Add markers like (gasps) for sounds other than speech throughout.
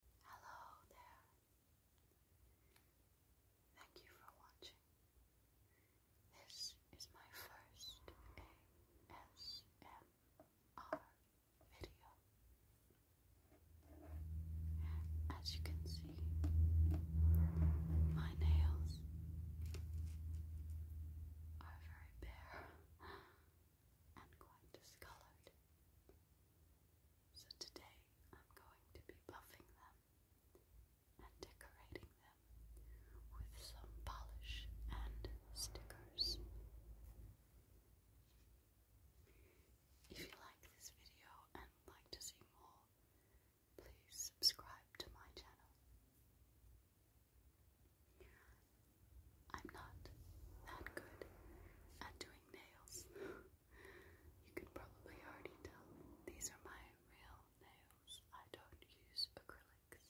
Hello there. Thank you for watching. This is my first ASMR video. As you can see, my nails are very bare and quite discolored. So today I'm going to be buffing them and decorating them with some polish and stickers. If you like this video and like to see more, please subscribe to my channel. I'm not that good at doing nails. You could probably already tell these are my real nails. I don't use acrylics.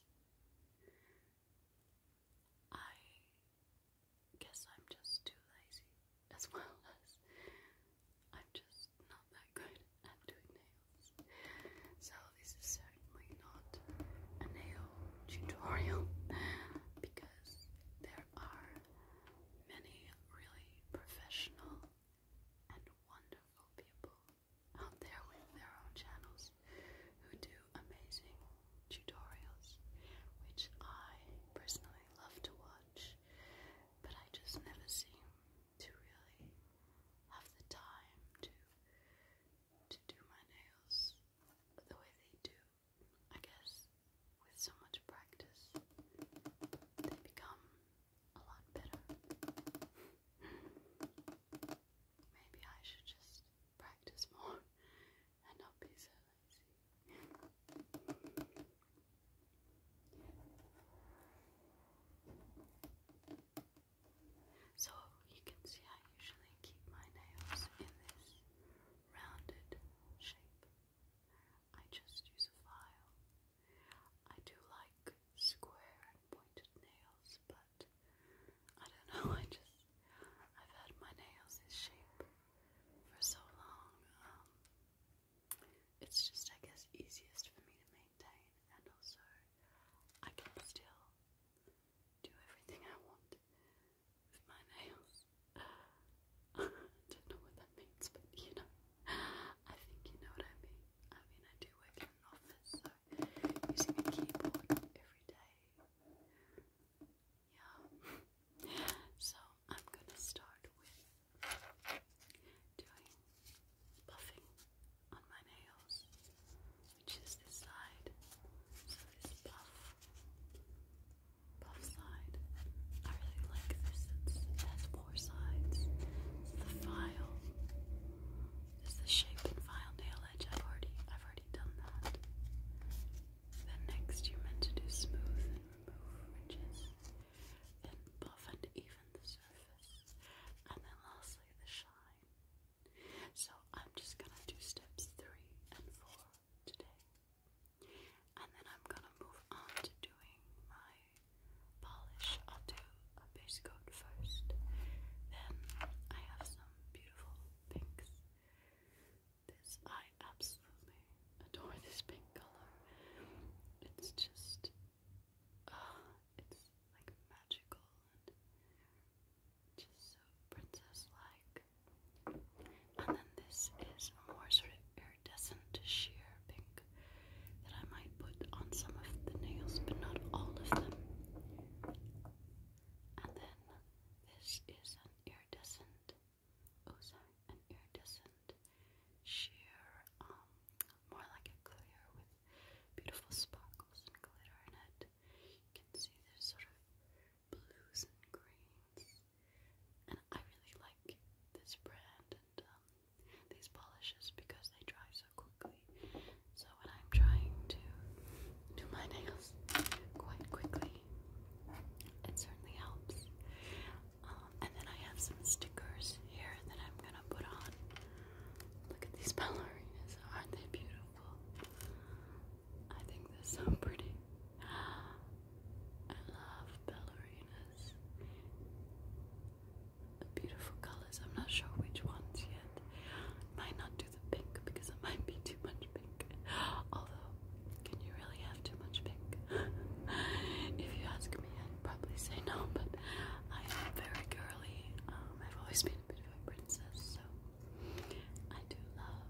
I guess I'm just too lazy, as (laughs) well as I'm just not that good at doing nails. So, this is certainly not a nail tutorial (laughs) because there are many really professional and wonderful people out there with their own channels who do amazing tutorials, which I personally love to watch, but I just never seem to really have the time to to do my nails the way they do I guess with so much practice, they become a lot better. Maybe I should just practice more and not be so lazy. So you can see I usually keep my nails in this rounded shape. I just use a file. I do like square and pointed nails, but I don't know, (laughs) I just, I've had my nails this shape for so long, um, it's just, I guess, easiest for me to maintain, and also, I can still do everything I want with my nails. (laughs) don't know what that means, but you know, I think you know what I mean. I mean, I do work in an office, so using a keyboard every day. Yeah. So I'm gonna start with doing buffing on my nails, which is this side. So this buff puff side. I really like this. it has four sides. the file. It's the shape file nail edge. I've already, I've already done that. Then next, you're meant to do smooth and remove ridges, and buff and even the surface, and then lastly the shine. So I'm just gonna do steps three and four today. And then I'm gonna move on to doing my polish. I'll do a base coat first. Then I have some beautiful pinks. This I absolutely adore this pink color. It's just ah, it's like magical and just so princess like. And then this is more sort of iridescent sheer pink that I might put on some of the nails, but not all of them. And then this is an iridescent, oh sorry, an iridescent sheer, um, more like a clear with beautiful sparkles and glitter in it. You can see there's sort of blues and greens. And I really like this brand and um, these polishes because they dry so quickly. So when I'm trying to do my nails quite quickly, it certainly helps. Um, and then I have some stickers here that I'm gonna put on. Look at these (laughs) ballerinas, aren't they beautiful? I think they're so pretty. I love ballerinas. The beautiful colors. I'm not sure which ones yet. Might not do the pink because it might be too much pink. Although, can you really have too much pink? (laughs) if you ask me, I'd probably say no. But I am very girly. Um, I've always been a bit of a princess, so I do love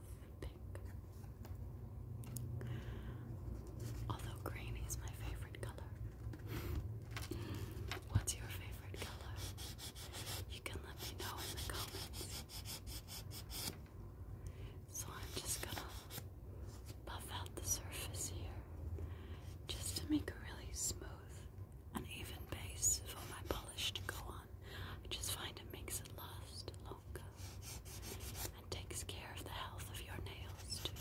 Although green is my favorite color. What's your favorite color? You can let me know in the comments. So I'm just gonna buff out the surface here just to make a really smooth an even base for my polish to go on. I just find it makes it last a and takes care of the health of your nails too.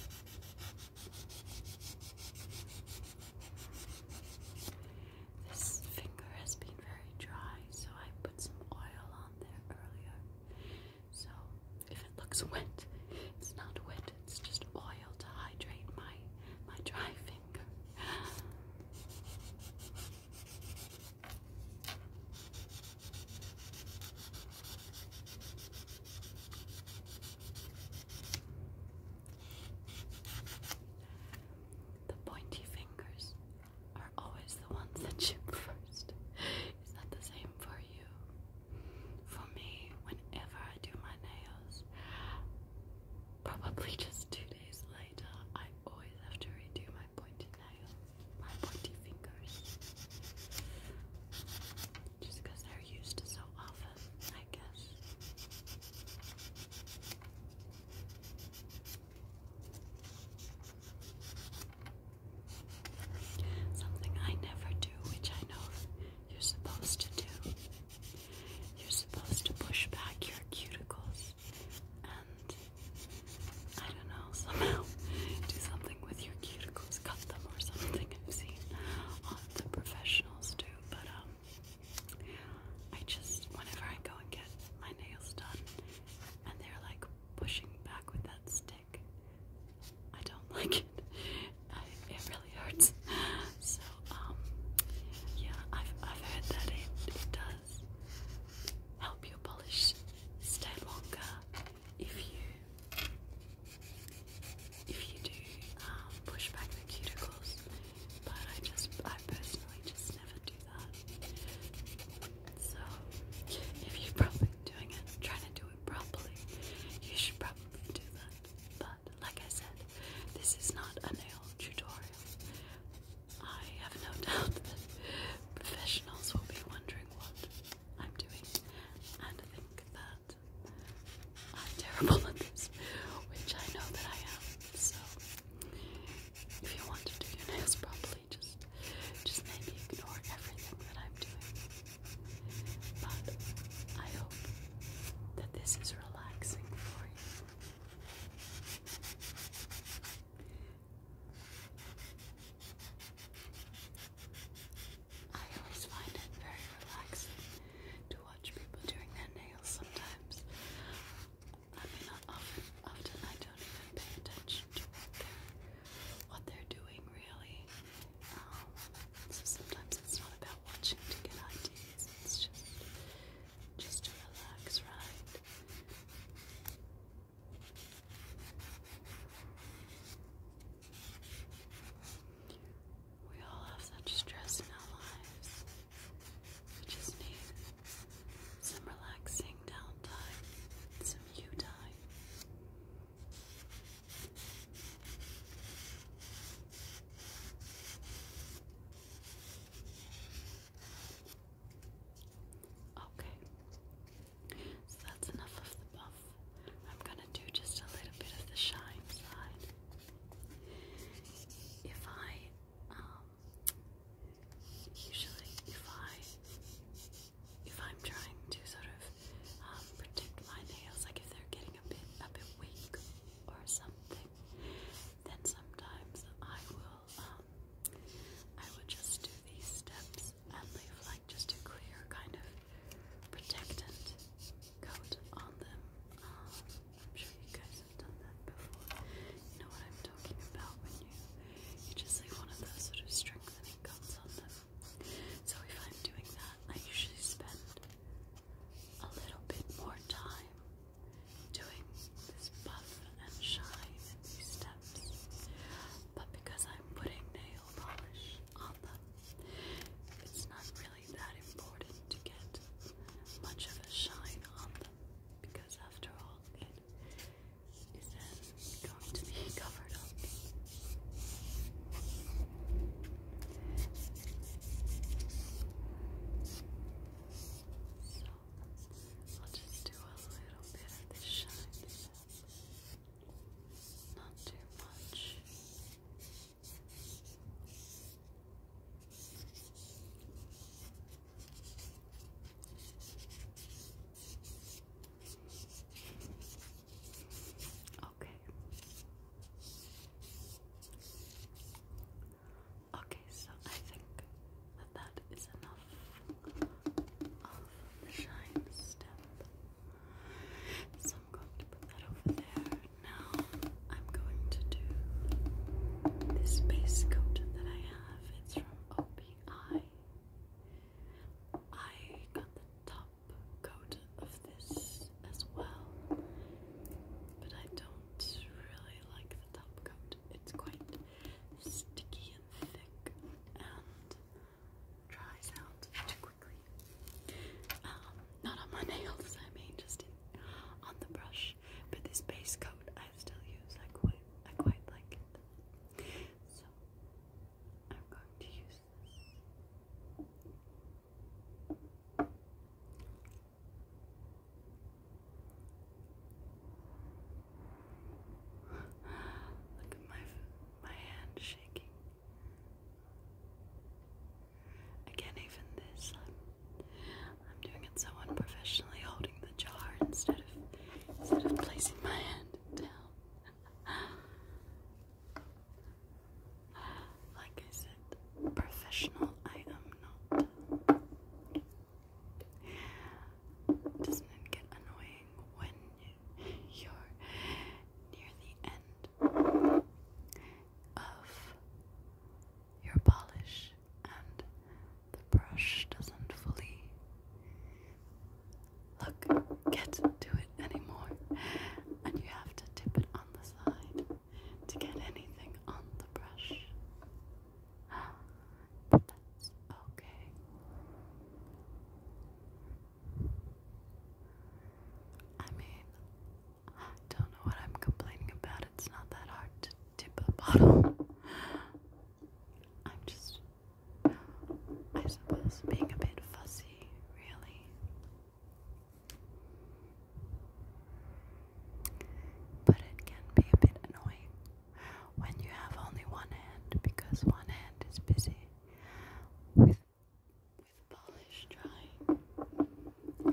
This finger has been very dry, so I put some oil on there earlier. So if it looks wet, it's not wet, it's just oil to hydrate my my dry finger. The pointy fingers are always the ones that (laughs) chip first. Is that the same for you? For me, whenever I do my nails, probably just two days later, I always have to redo my my nails, my pointy fingers. Just because they're used to so often, I guess. Something I never do, which I know you're supposed to do. You're supposed to push back your cuticles and I don't know, somehow do something with your cuticles, cut them or something. I've seen all the professionals do, but um, I just, whenever I go and get my nails done and they're like pushing back with that stick, I don't (laughs) like it. I, it really hurts. So, um, yeah, I've, I've heard that it, it does help your polish stay longer if you if you do um, push back the cuticles, but I just I personally just never do that. So if you're probably doing it, trying to do it properly, you should probably do that. But like I said, this is not a nail tutorial. I have no (laughs) doubt that professionals will be wondering what I'm doing, and I think that I'm terrible at this, which I know that I am. So, if you want to do your nails properly, just just maybe ignore everything that I'm doing. But I hope that this is relaxing for you. I always find it very relaxing to watch people doing their nails sometimes. I mean, often, often I don't even pay attention to what they're, doing, really. Um, so sometimes it's not about watching to get ideas, it's just, just to relax, right? We all have such stress in our lives. We just need some relaxing downtime, some you time. Okay. So that's enough of the buff. I'm gonna do just a little bit of the shine side. If I, um, usually if I, if I'm trying to sort of um, protect my nails, like if they're getting a bit, a bit weak or something, then sometimes I will, um, I will just do these steps and leave like just a clear kind of protectant coat on them. Um, I'm sure you guys have done that before. You know what I'm talking about when you you just like one of those sort of strengthening coats on them. So if I'm doing that, I usually spend a little bit more time doing this buff and shine and these steps. But because I am i putting nail polish on them. It's not really that important to get much of a shine on them because, after all, it is then going to be (laughs) covered up. So, I'll just do a little bit of the shine. Not too much. Okay. Okay, so I think that that is enough of the shine step. So I'm going to put that over there. Now I'm going to do this base coat that I have. It's from OPI. I got the top coat of this as well, but I don't really like the top coat. It's quite sticky and thick, and dries out too quickly. Um, not on my (laughs) nails, I mean, just in, on the brush. But this base coat I still use. I quite, I quite like it. So I'm going to use this. Look at my my hand shaking. Again, even this, I'm, doing it so unprofessionally, holding the jar instead of instead of placing my hand down. like I said, professional I am not. Doesn't it get annoying when you're near the end of your polish and the brush doesn't fully look get to it anymore and you have to tip it on the side to get anything on the brush (gasps) but that's okay I mean, I don't know what I'm complaining about. It's not that hard to tip a bottle. I'm just, I suppose, being a bit fussy, really. But it can be a bit annoying when you have only one hand because one hand is busy with, with polish dry. Oh,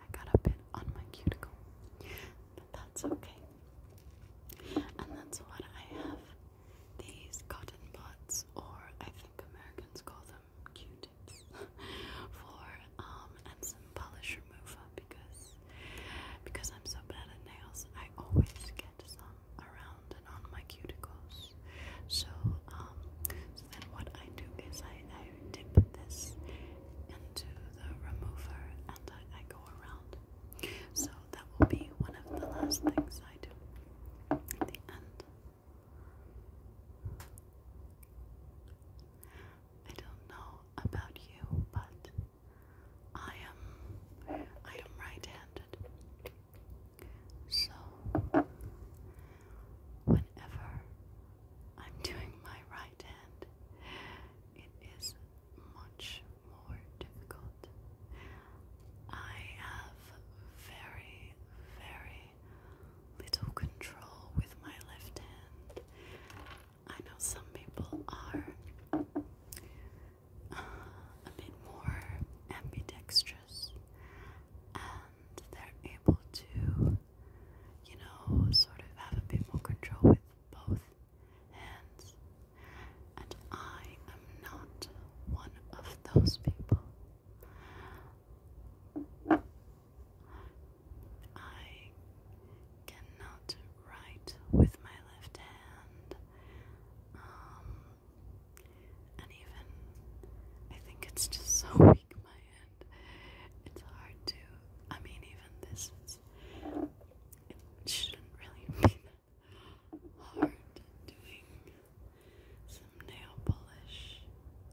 I got a bit on my cuticle, but that's okay. And that's what I have these cotton buds, or I think Americans call them Q-tips, (laughs) for um and some polish remover because because I'm so bad at nails, I always get some around and on my cuticles. So um, so then what I do is I I dip this into the remover and I, I go around. So that will be one of the last things I do at the end. I don't know about you, but I am I am right-handed. So whenever I'm doing my right hand, it is much more difficult. I have very, very little control with my left hand. I know some people are uh, a bit more ambidextrous and they're able to, you know, sort of have a bit more control with both hands and I am not one of those people. I cannot write with my left hand, um, and even I think it's just so (laughs) weak, my hand. It's hard to. I mean, even this is. shouldn't really hard doing some nail polish,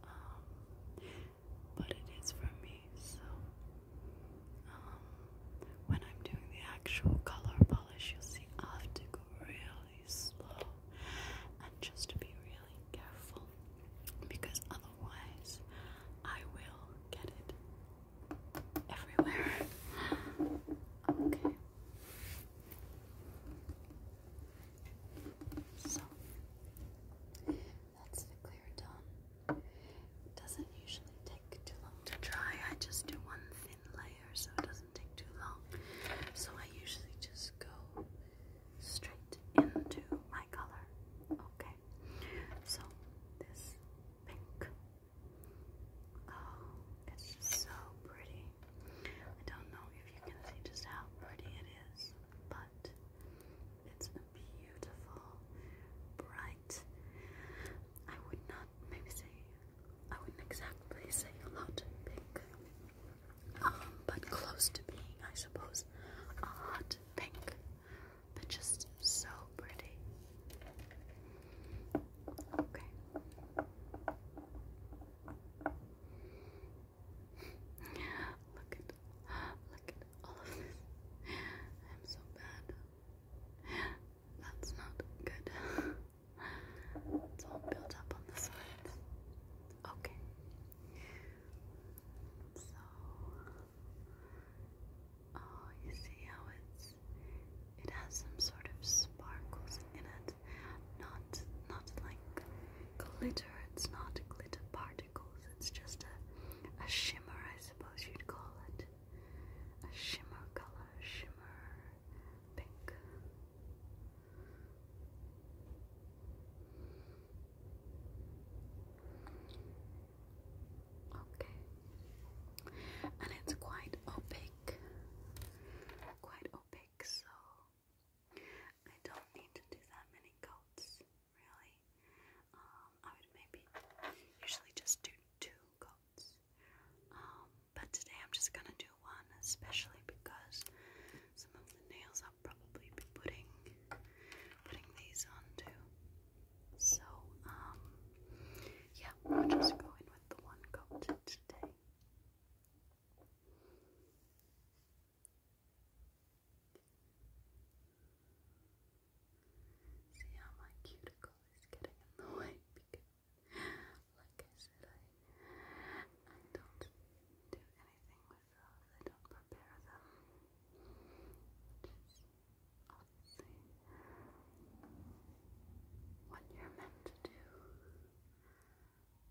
um, but it is for me, so um, when I'm doing the actual color polish, you'll see I have to go really slow and just be really careful because otherwise I will get it everywhere. (laughs) Okay. So that's the clear done. doesn't usually take too long to dry. I just do one thin layer so it doesn't take too long. So I usually just go straight into my color. Okay. So this pink. Oh, it's so pretty. I don't know if you can see just how pretty it is, but it's a beautiful, bright. I would not maybe say I wouldn't exactly say hot pink, um, but close to being, I suppose, a hot pink, but just so pretty. Okay. Look at, look at all of this. I'm so bad. That's not good. It's all built up on the side. Okay. So, oh, you see how it's, it has some sort of sparkles in it not not like glitter. It's not glitter particles. It's just a a shimmer, I suppose you'd call it. A shimmer color, shimmer pink. Okay. And it's quite opaque. Quite opaque pixel. I don't need to do that many coats, really. Um, I would maybe usually just do two coats. Um, but today I'm just gonna do one, especially because some of the nails I'll probably be putting putting these on too. So, um, yeah, we are just go in with the one coat today. See how my cuticle is getting in (laughs) like I said, I, I don't do anything with those, I don't prepare them. Just obviously what you're meant to do.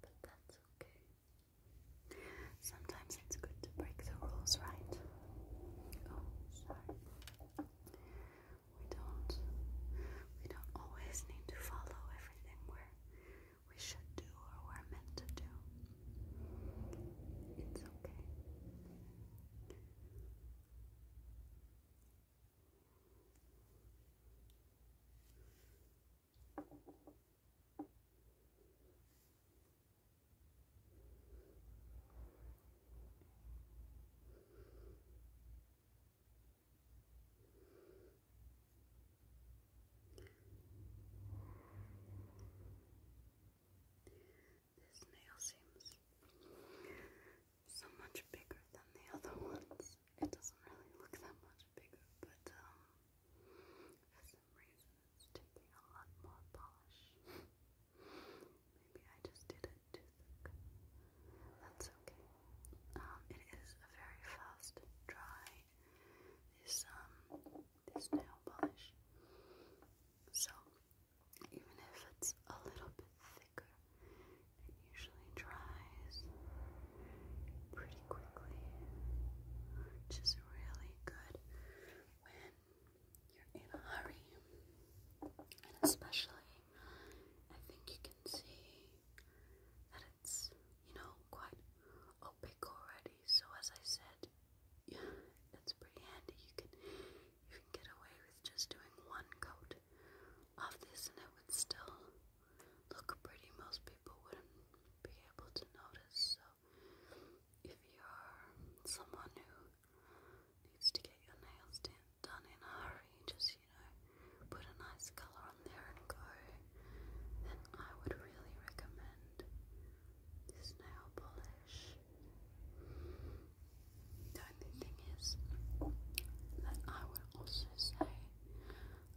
But that's okay. Sometimes it's good to break the rules, right? Oh, sorry. We don't we don't always need to follow everything we we should do or we're meant to do. It's okay. This nail seems so much bigger than the other ones. It doesn't really look that much bigger, but um, for some reason it's taking a lot more polish. Maybe I just did it too thick. That's okay. Um, it is a very fast dry. This um, this nail polish. So even if it's a little bit thick. It usually dries pretty quickly, which is really good when you're in a hurry. And especially, I think you can see that it's, you know, quite opaque already. So as I said, yeah, it's pretty handy. You can you can get away with just doing one coat of this and it would still look pretty. Most people wouldn't be able to notice. So if you're someone who needs to get your nails done in a hurry, just, you know, put a nice colour on there and go, then I would really recommend this nail polish. The only thing is that I would also say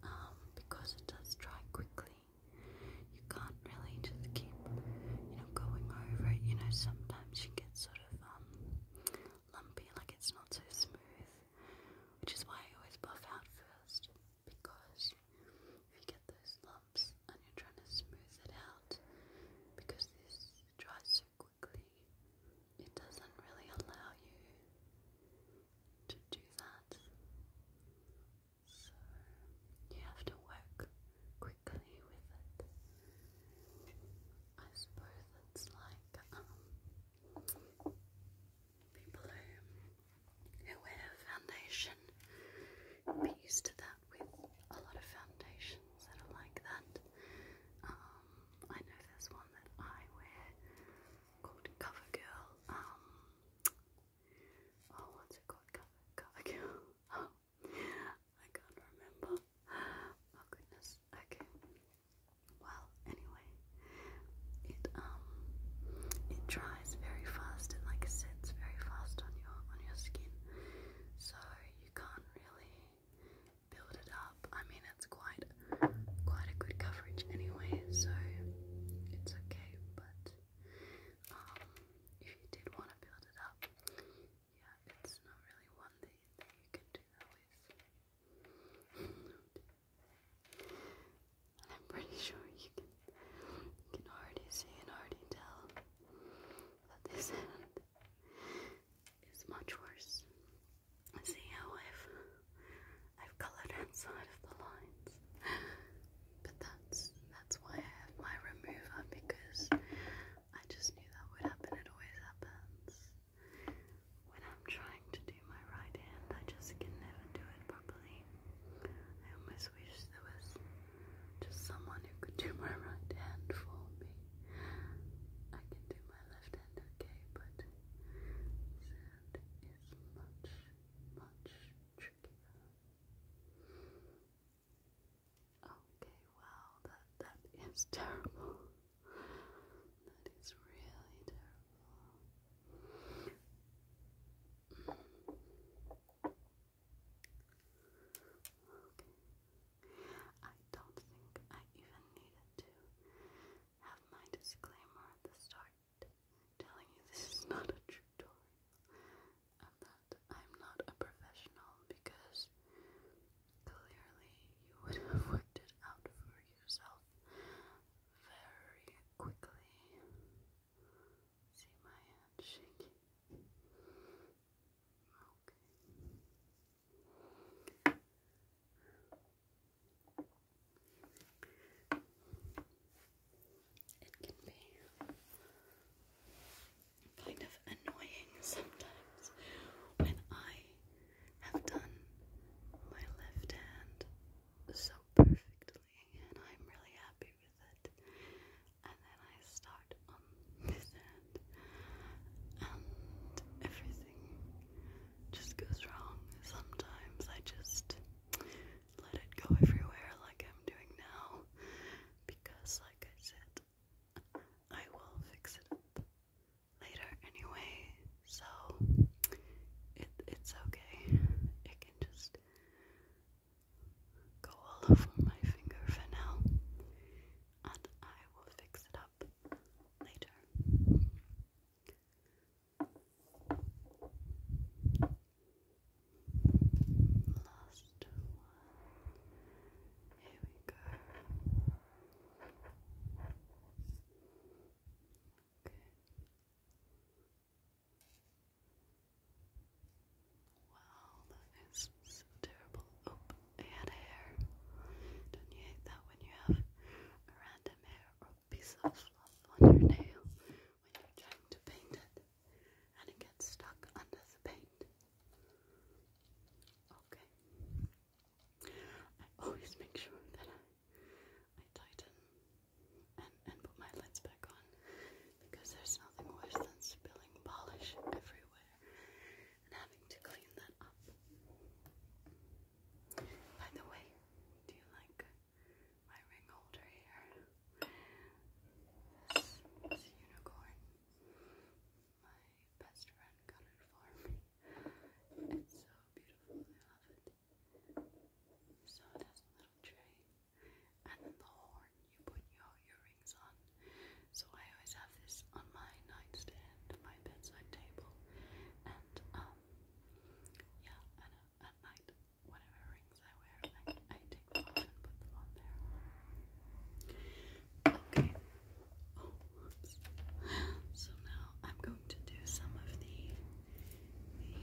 um, because it does dry quickly. You can't really just keep, you know, going over it. You know, sometimes you get sort of um, lumpy, like it's not so smooth, which is why I always buff out first. Because if you get those lumps and you're trying to smooth it out, because this dries so quickly, it doesn't really allow you to do that. So you have to work quickly with it. I suppose it's like um, people who, who wear foundation, be used to that with a lot of foundations that are like that. Um, I know there's one that I wear called CoverGirl. Um, oh, what's it called? Cover, CoverGirl. (laughs) Oh, I can't remember. Oh goodness. Okay. Well, anyway, it um, it dries very fast. and like sets very fast on your on your skin, so you can't really build it up. I mean, it's quite quite a good coverage anyway, so it's okay. But um, if you did want to build it up, yeah, it's not really one that that you can do and I'm pretty sure you can already see and already tell that this hand is much worse See how I've I've coloured outside of the lines. But that's that's why I have my remover because I just knew that would happen. It always happens. When I'm trying to do my right hand, I just can never do it properly. I almost wish there was just someone who could do my right hand for me. I can do my left hand okay, but that is much, much trickier. Okay, wow, that, that is terrible. that is really terrible. Okay. I don't think I even needed to have my disclaimer at the start telling you this is not a tutorial and that I'm not a professional because clearly you would have (laughs) worked it out for yourself very quickly. See my hand shaking. Okay. It can be kind of annoying sometimes when I have done my left hand so perfectly and I'm really happy with it. And then I start on this hand and everything just goes wrong. Sometimes I just let it go everywhere like I'm doing now because, like I said, I will fix it up later anyway. So it it's okay. It can just go all over my finger for now, and I will fix it up later. Last one. Here we go. Okay. Wow, that is terrible. Oh, I had hair. Don't you hate that when you have random hair piece of fluff on your nail when you're trying to paint it and it gets stuck under the paint. Okay. I always make sure that I, tighten and, and put my lids back on because there's nothing worse than spilling polish everywhere and having to clean that up. By the way, do you like my ring holder here? This unicorn. My best friend got it for me. It's so beautiful, I love it. So it has a little tray and then the horn you put your earrings on. So I always have this on my nightstand, my bedside table, and um yeah, and uh, at night, whatever rings I wear, I, I take them off and put them on there. Okay. Oh, so now I'm going to do some of the the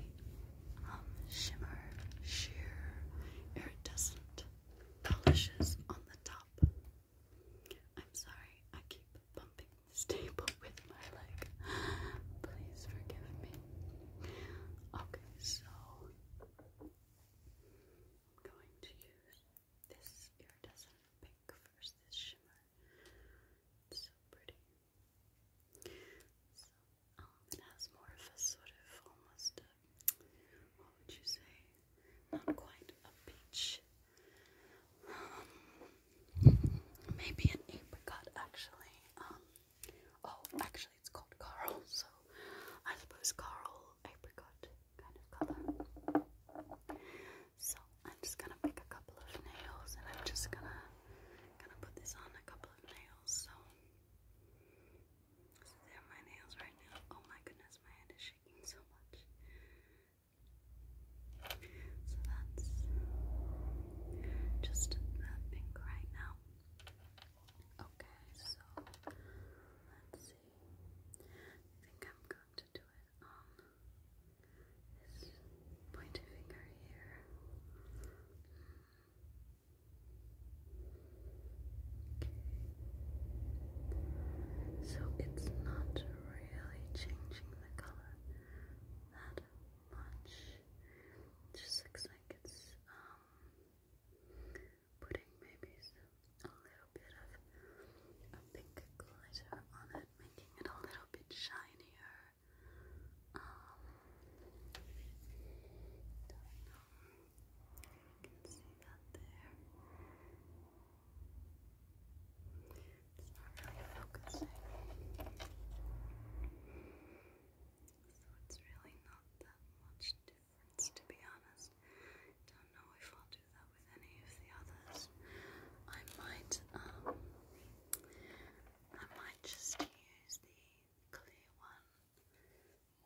um, shimmer sheer iridescent polishes on the top. I'm sorry, I keep bumping staple with my leg. Please forgive me. Okay, so I'm going to use this iridescent pink first, this shimmer. so pretty. So, um, it has more of a sort of almost a, what would you say? Not quite a peach um, maybe an apricot, actually. Um, oh, actually, it's called Carl, (laughs) so I suppose Carl apricot kind of color. So I'm just gonna make a couple of nails, and I'm just gonna gonna put this on a couple of nails. So, so are my nails right now. Oh my goodness, my hand is shaking so much. So that's just pink right now. Okay, so let's see. I think I'm going to do it on this pointy finger here. Okay. So it's not really changing the color that not much. just like it's um, putting maybe a little bit of a pink glitter on it, making it a little bit shinier. Um, don't know. You can see that there. It's not really focusing. So it's really not that much difference to be honest. Don't know if I'll do that with any of the others. I might I might just use the clear one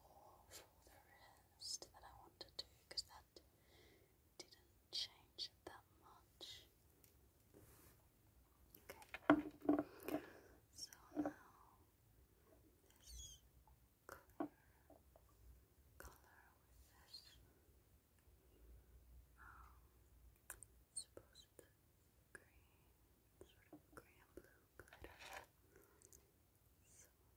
more for the rest that I want to because that didn't change that much. Okay. So now this clear color with this um supposed green sort of green blue glitter. So try this one.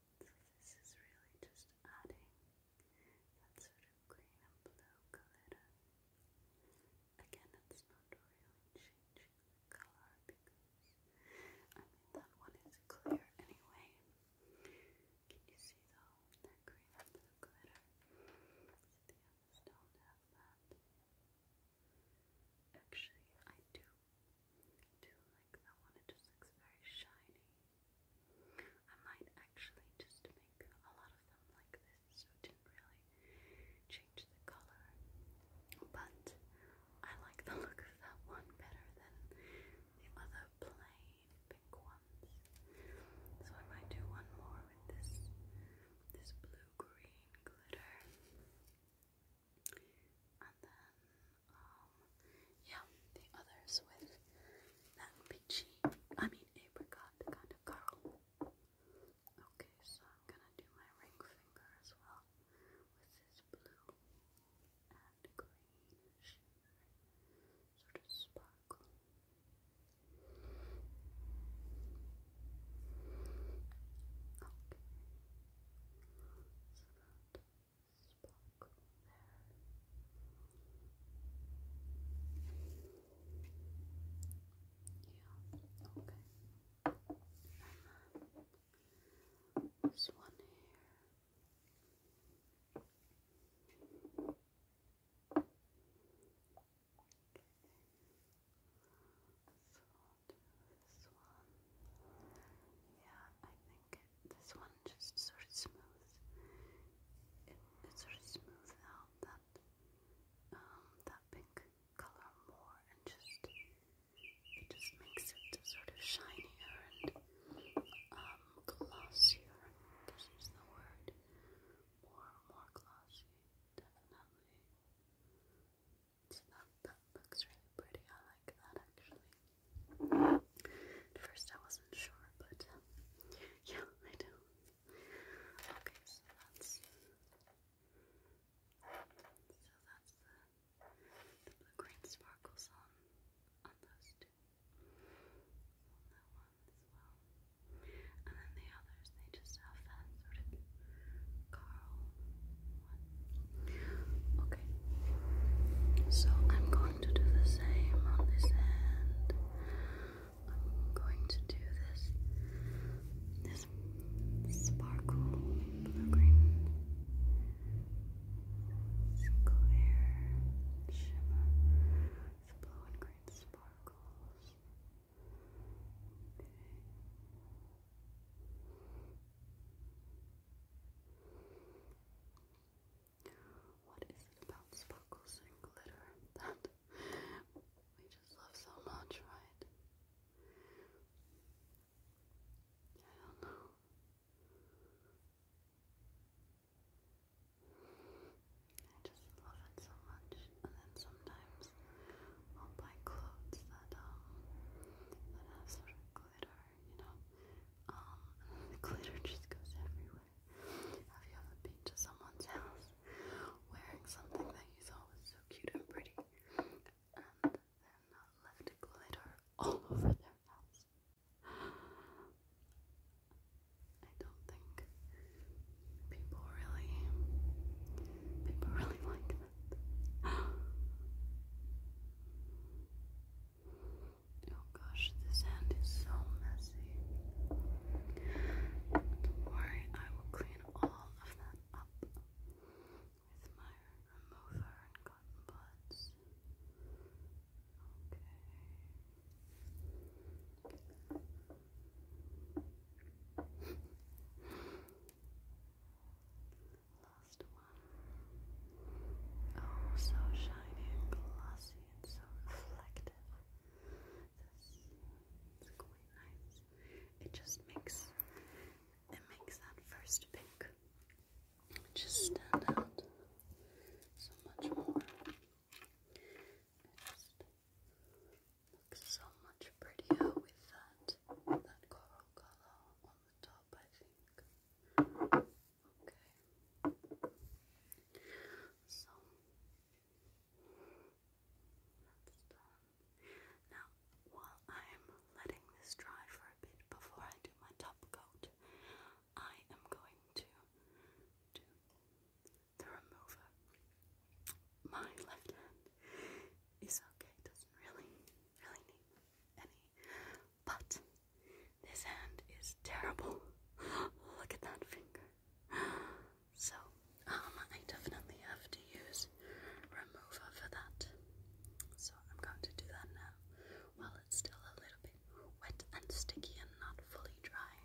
So this is really just adding that sort of green and blue glitter. Again, it's not really changing the color because I mean that one is clear anyway. Can you see that green and blue glitter? the others don't have that. Actually, I do do like that one, it just looks very shiny. I might actually just make a lot of them like this so it didn't really change the color. But I like the look of that one better than the other plain pink ones. So I might do one more with this this blue green glitter. And then, um, yeah, the others with that peachy, I mean apricot kind of curl. Okay, so gonna do my ring finger as well with this blue and green sort of sparkle. Okay sparkle there. Yeah, okay. And then this one here. Okay. So I'll do this one. Yeah, I think this one just sort of smooths it, sort of smooths out that um, that pink color more and just just makes it sort of shinier and um, glossier. This is the word. More more glossy, definitely. So that that looks really pretty. I like that actually. At first I wasn't sure, but um, yeah, I do. Okay, so that's so that's the the blue green sparkles on on those two. On that one as well. And then the others, they just have that sort of Carl Okay. So I'm going to do the same on this end. I'm going to do this this sparkle blue green clear shimmer. It's blue and green sparkles. Okay. What is it about sparkles and glitter that we just love so much, right? I don't know. I just love it so much, and then sometimes I'll buy clothes that um that have sort glitter you know. Um, glitter just goes everywhere. Have you ever been to someone's house wearing something that you thought was so cute and pretty, and then left glitter all (laughs) over their house? I don't think people really, people really (laughs) like that. Oh gosh, this hand is so messy. Don't worry, I will clean all of that up with my remover and cotton buds. Okay last one. Oh, so shiny and glossy and so reflective. This is quite nice. It just makes it makes that first pink just stand out so much more. It just looks so much prettier with that that coral color on the top, I think. Okay. So Now, while I'm letting this dry for a bit before I do my top coat, I am going to do the remover. My left hand is okay, doesn't really, really need any but this hand is terrible. (gasps) Look at that finger. (gasps) So, um, I definitely have to use remover for that. So I'm going to do that now while it's still a little bit wet and sticky and not fully dry.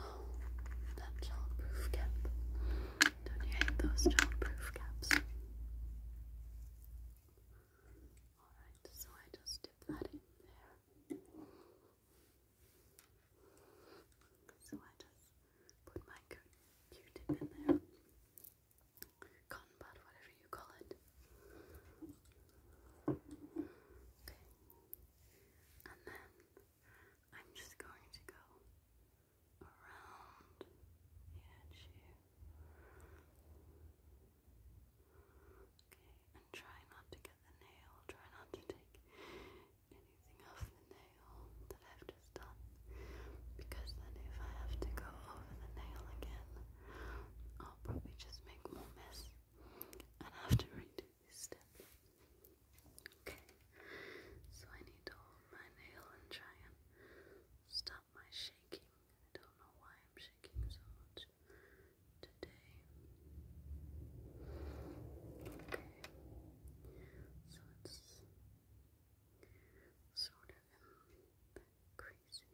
Oh, that childproof cap. Don't you hate those childproof caps? Alright, so I just dip that in there. So I just put my Q-tip in there. Cotton bud, whatever you call it. Okay. And then I'm just going to go around the edge here. Okay, and try not to get the nail, try not to take anything off the nail that I've just done. Because then if I have to go over the nail again, I'll probably just make more mess and have to Okay, so I need to hold my nail and try and stop my shaking. I don't know why I'm shaking so much today. Okay, so it's sort of in here. So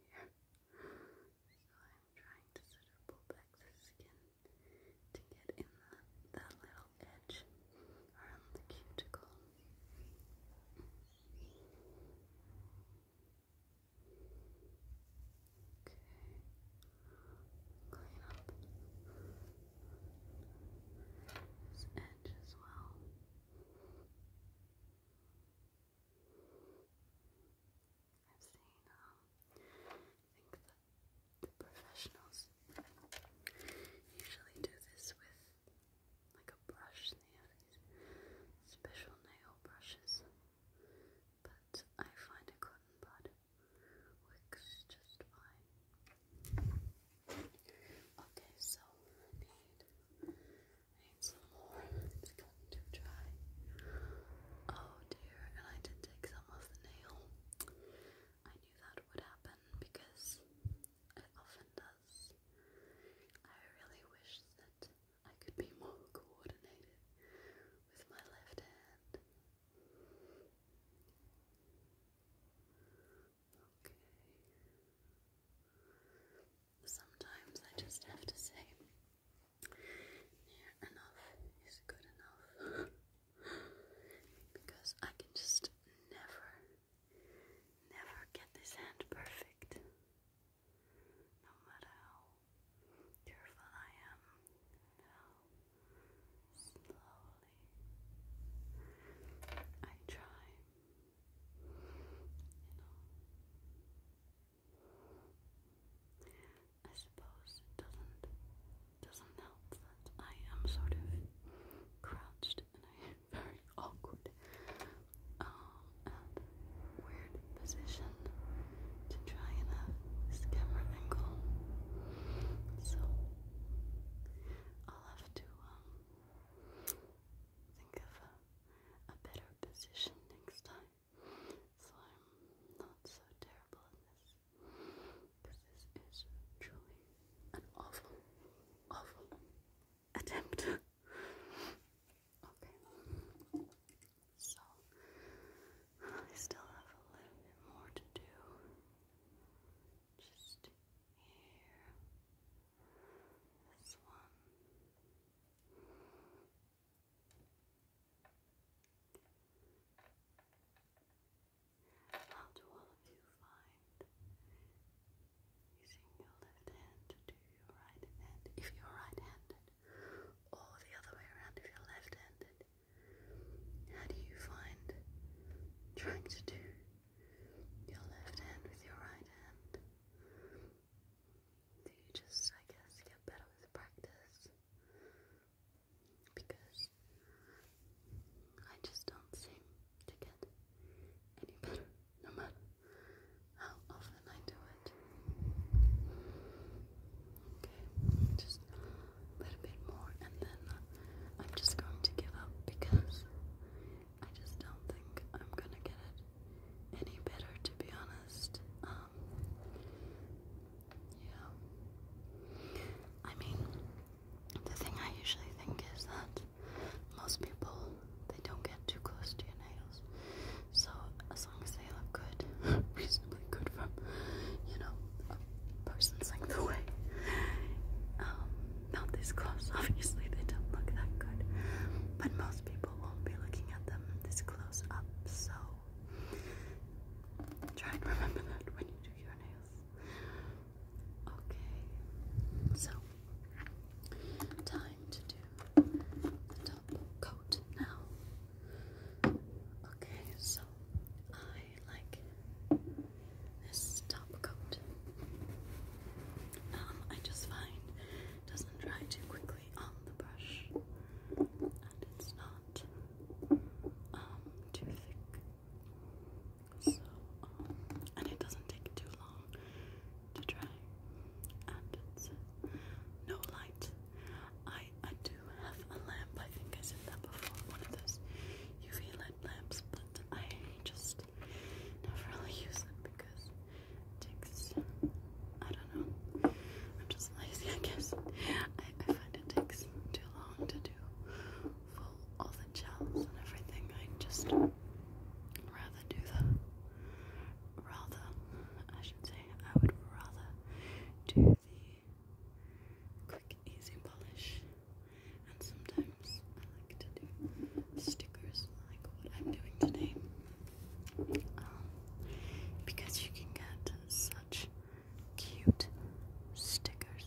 I'm trying to sort of pull back the skin to get in that little edge around the cuticle. Okay. Clean up this edge as well. I've seen, um, I think the professionals usually do this with like a brush, and they have these special nail brushes. But I find a cotton bud works just fine. Okay, so I need, I need some more. It's going to dry. Oh dear, and I did take some off the nail. I knew that would happen because it often does. I really wish that I could be more coordinated with my left hand. Sometimes I just have to say, near enough is good enough. (laughs) because I can just never, never get this hand perfect. No matter how careful I am, slowly I try, you know. I suppose it doesn't doesn't help that I am sort of crouched and I am very awkward um and weird position to try and have camera angle. So I'll have to um, think of a, a better position next time. So I'm not so terrible at this. Because this is truly an awful, awful attempt. (laughs) okay. So, I still have a little bit more to do. Just here. This one. How do all of you find using your left hand to do your right hand if you're right handed, or the other way around if you're left handed? How do you find trying to do your left hand with your right hand? Do you just, I guess, get better with practice? because I just don't seem to get any better no matter how often I do it. Okay, just a little bit more and then I'm just going to give up because I just don't think I'm gonna get it any better to be honest. Um, yeah. I mean, the thing I usually think is that most people they don't get too close to your nails. So as long as they look good, (laughs) reasonably good from you know a person's length away. Um, not this close. (laughs) Obviously, they don't look that good, but most people won't be looking at them this close up. So. Try and remember that when you do Okay, so time to do the top coat now. Okay, so I like this top coat. Um, I just find doesn't dry too quickly on the brush, and it's not um, too thick. Um, and it doesn't take too long to dry. And it's uh, no light. I I do have a lamp. I think I said that before. One of those UV light lamps, but I just never really use it because it takes. I don't know. I'm just lazy, I guess. I, I find it takes too long to do do all the gels and everything. I just rather do the rather I should say I would rather do the quick easy polish and sometimes I like to do stickers like what I'm doing today. Um, because you can get such cute stickers,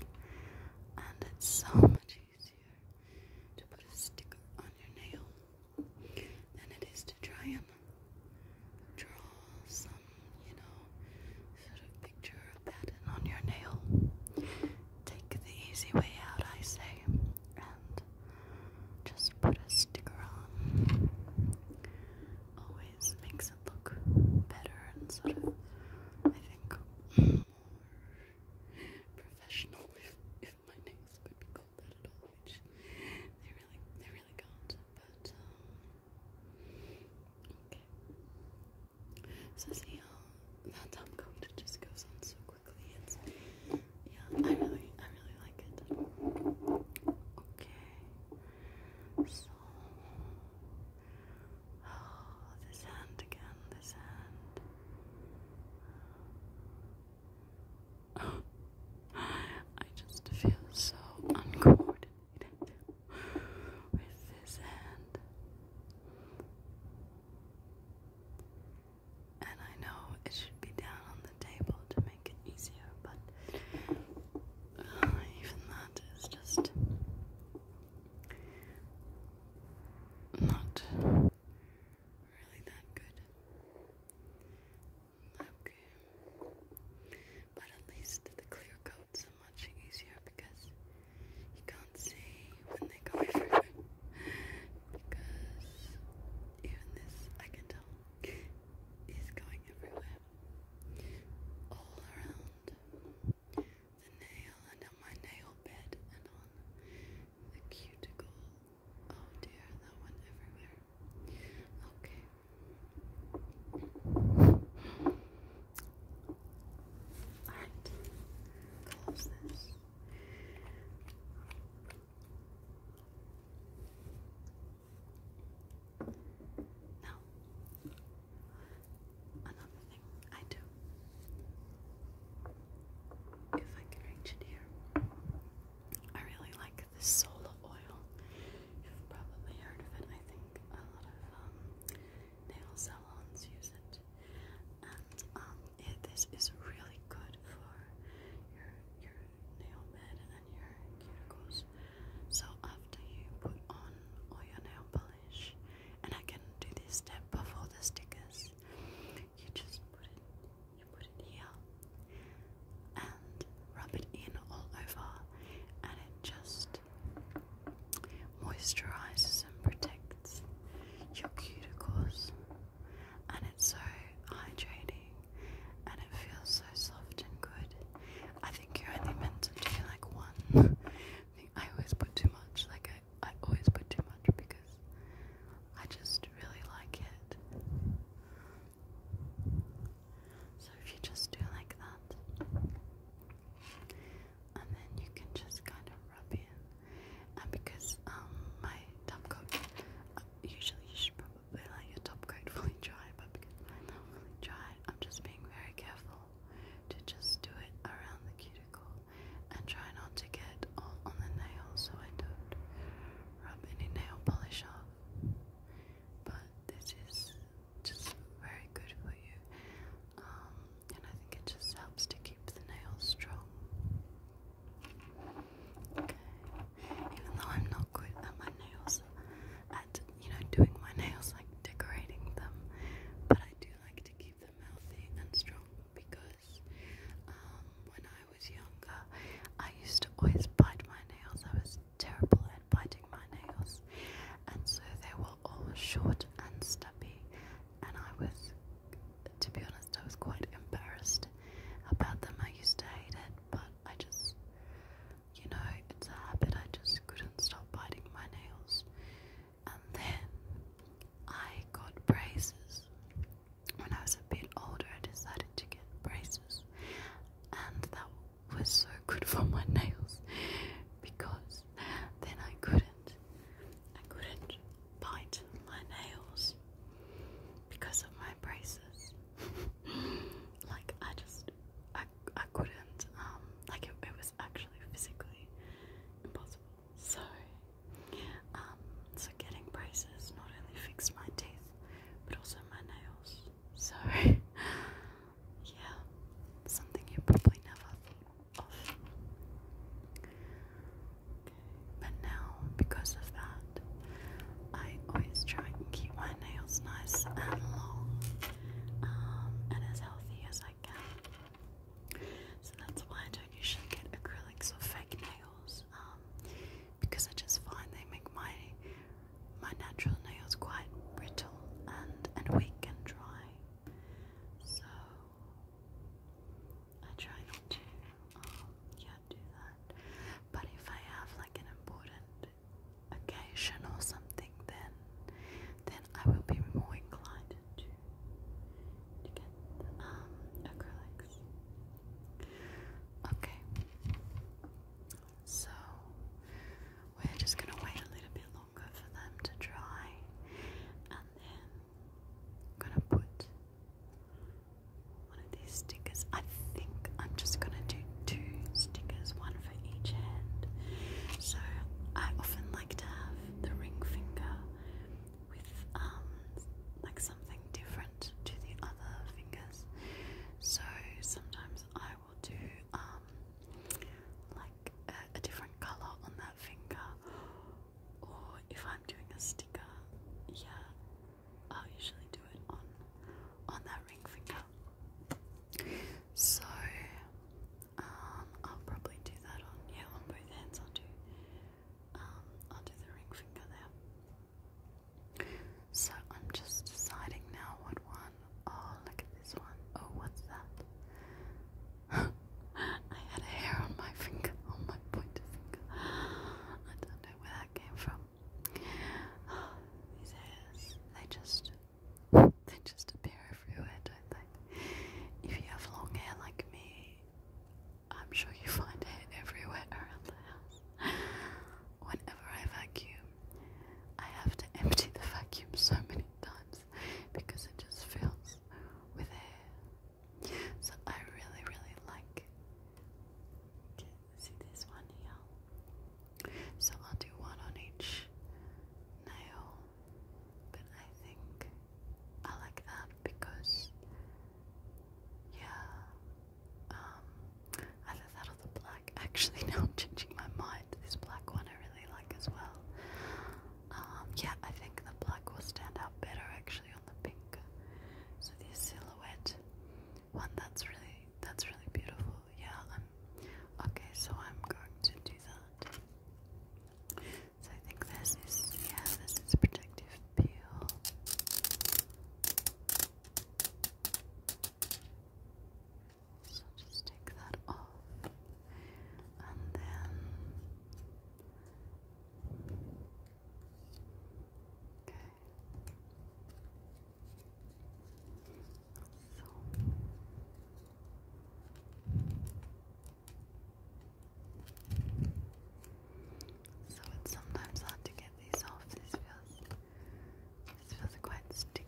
and it's so much easier to put a sticker on your nail than it is to try and draw some, you know, sort of picture of that on your nail. Take the easy way out, I say, and just put a sticker on always makes it look better and sort of, I think, more professional. If, my nails could be called at all, which they really, they really can't. But um, okay. So see how uh, that top coat just goes on so quickly. yeah, I really, I really like it. Okay. So. Oh, this hand again, this hand. (gasps) I just feel so uncoordinated with this hand. And I know it should be down on the table to make it easier, but uh, (sighs) even that is just not really that good. Okay. But at least the clear coats are much easier because you can't see when they go through. because even this, I can tell, is going everywhere. All around the nail and on my nail bed and on the cuticle. Oh dear, that went everywhere. Okay. Alright, close this. Now, another thing I do, if I can reach it here, I really like this solar oil. You've probably heard of it. I think a lot of um, nail salons use it, and um, this is really good for your your nail bed and your cuticles. So after you put on all your nail polish, and I can do this step before the stickers, you just put it, you put it here, and rub it in all over, and it just moisturizes and protects your cuticles, and it's so hydrating, and it feels so soft and good think you only meant to do like one. I always put too much. Like I, I always put too much because I just really like it. So if you just do like that, and then you can just kind of rub in. And because um my top coat, uh, usually you should probably let your top coat fully dry, but because mine's not fully dry, I'm just being very careful to just do it around the cuticle and try not to get all on the nail so I don't rub any nail polish off. But this is just very good for you, um, and I think it just helps to keep the nails strong. Okay, even though I'm not good at my nails, at you know doing my nails, like decorating them. But I do like to keep them healthy and strong because um, when I was younger, I used to always bite my nails. I was terrible at biting my nails, and so they were all short and stubby. And I was, to be honest, I was quite embarrassed about them. I used to hate it, but I just you know, it's a habit I just couldn't stop biting my nails. And then I got braces. When I was a bit older, I decided to get braces, and that was so good for my nails because then I couldn't, I couldn't bite my nails because of my braces. (laughs) like I just, I I, couldn't, um, like it, was actually physically impossible. So, um, so getting braces not only fixed my teeth, but also my nails. So, (laughs) yeah, something you probably never thought of. But now, because of that, I always try and keep my nails nice and long. Um, and as healthy as I can. So that's why I don't usually get acrylics or fake nails, um, because I just find they make my my natural nails quite brittle and and weak and dry. So I try not to, um, yeah, do that. But if I have like an important occasion or something, then then I will be more inclined to to get the, um, acrylics. Okay, so we're just gonna wait a little bit longer for them to dry, and then gonna put one of these stickers. I think I'm just gonna do two stickers, one for each hand. So I often like to have the ring finger with um, like something different to the other fingers. So sometimes I will do um, like a, a different color on that finger, or if I'm doing a sticker, yeah, I'll usually do it on on that ring finger. So um, I'll probably do that on yeah, on both hands I'll do um I'll do the ring finger there. So I'm just deciding now what one. Oh look at this one. Oh what's that? (laughs) I had hair on my finger, (laughs) on my pointer finger. (gasps) I don't know where that came from. (gasps) these hairs, they just (laughs) they just appear everywhere, don't they? If you have long hair like me, I'm sure you find hair everywhere around the house. (gasps) Whenever I vacuum, I have to empty the vacuum so many times because it just fills with hair. So I really, really like. see this one here? So I'll do one on each nail, but I think I like that because, yeah, either um, that or the black. (laughs) Actually, now I'm changing my mind. This black one I really like as well. Um, yeah, I think the black will stand out better actually on the pink. So this silhouette one, that's really that's really beautiful. Yeah, Okay, so I'm going to do that. So I think this is, yeah, this is protective peel. So just take that off. And then. Okay. So. So it's sometimes hard to get these off. This feels this feels quite sticky.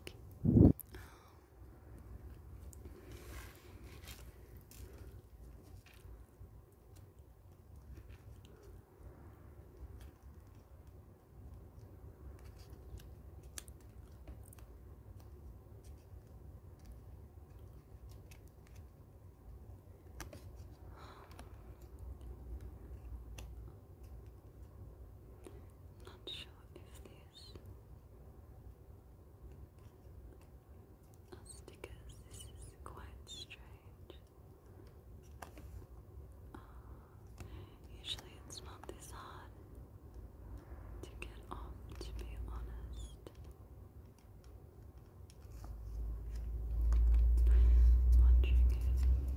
Not sure if these stickers. This is quite strange. Uh, usually it's not this hard to get off, to be honest. Watching it.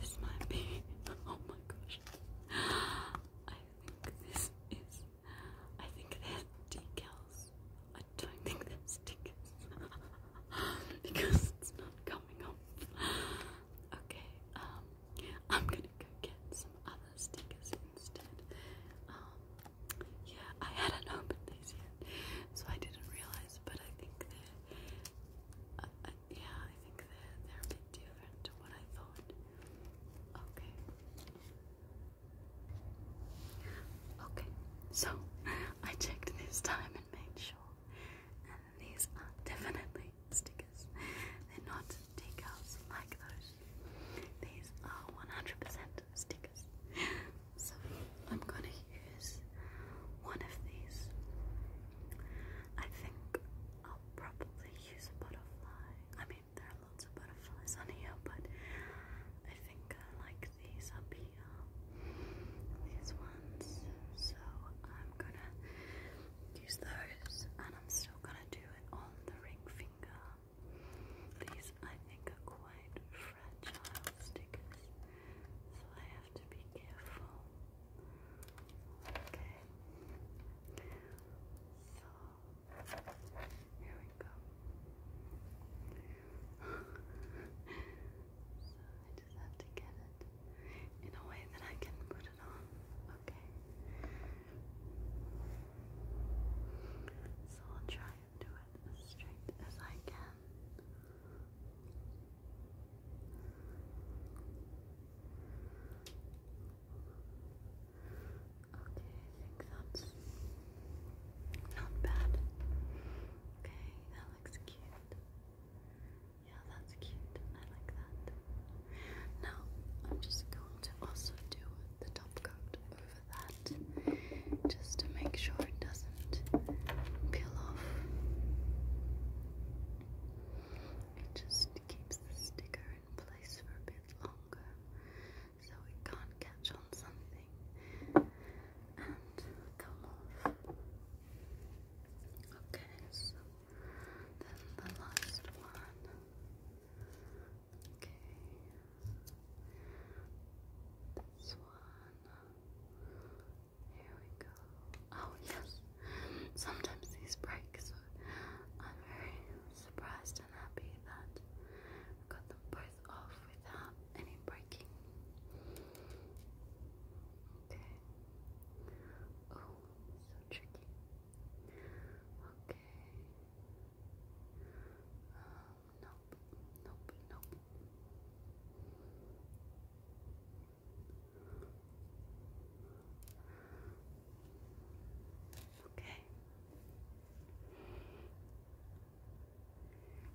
This might be. (laughs) Oh my gosh. I think this is. I think they decals. I don't think that's decals. (laughs) because it's not coming on (laughs) okay, um, I'm gonna go get some other stickers instead. Um, yeah, I hadn't opened these yet, so I didn't realize, but I think they uh, uh, yeah, I think they they're a bit different to what I thought. Okay. Okay, so (laughs) I checked this time and made sure these are definitely stickers. They're not decals like those. These are 100% stickers. So I'm gonna use one of these. I think I'll probably use a butterfly. I mean, there are lots of butterflies on here, but I think I like these up here these ones. So I'm gonna use those and I'm still gonna do it on the ring finger. These I think are quite fragile stickers, so I have to be careful. Okay. So here we go. (laughs) just have to get it in a way that I can put it on. Okay. So I'll try and do it as straight as I can. Okay, I think that's not bad. Okay, that looks cute. Okay, yeah, that's cute. I like that. Now, I'm just going to also do the top coat over that just to make sure it doesn't peel off. It just keeps the sticker in place for a bit longer so it can't catch on something and come off. Okay, so then the last one. Okay. This one. Here we go. Oh, yes. Sometimes these break, so I'm very surprised and happy that I got them both off without any breaking. Okay. Oh, so tricky. Okay. Um, nope, nope, nope. Okay.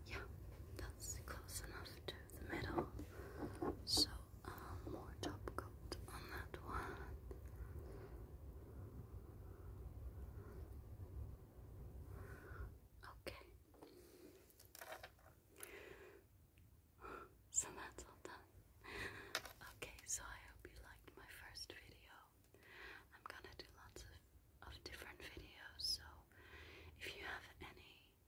Yeah, that's close enough to the middle. So um, more top coat on that one. Okay. So that's all done. Okay, so I hope you liked my first video. I'm gonna do lots of, of different videos, so if you have any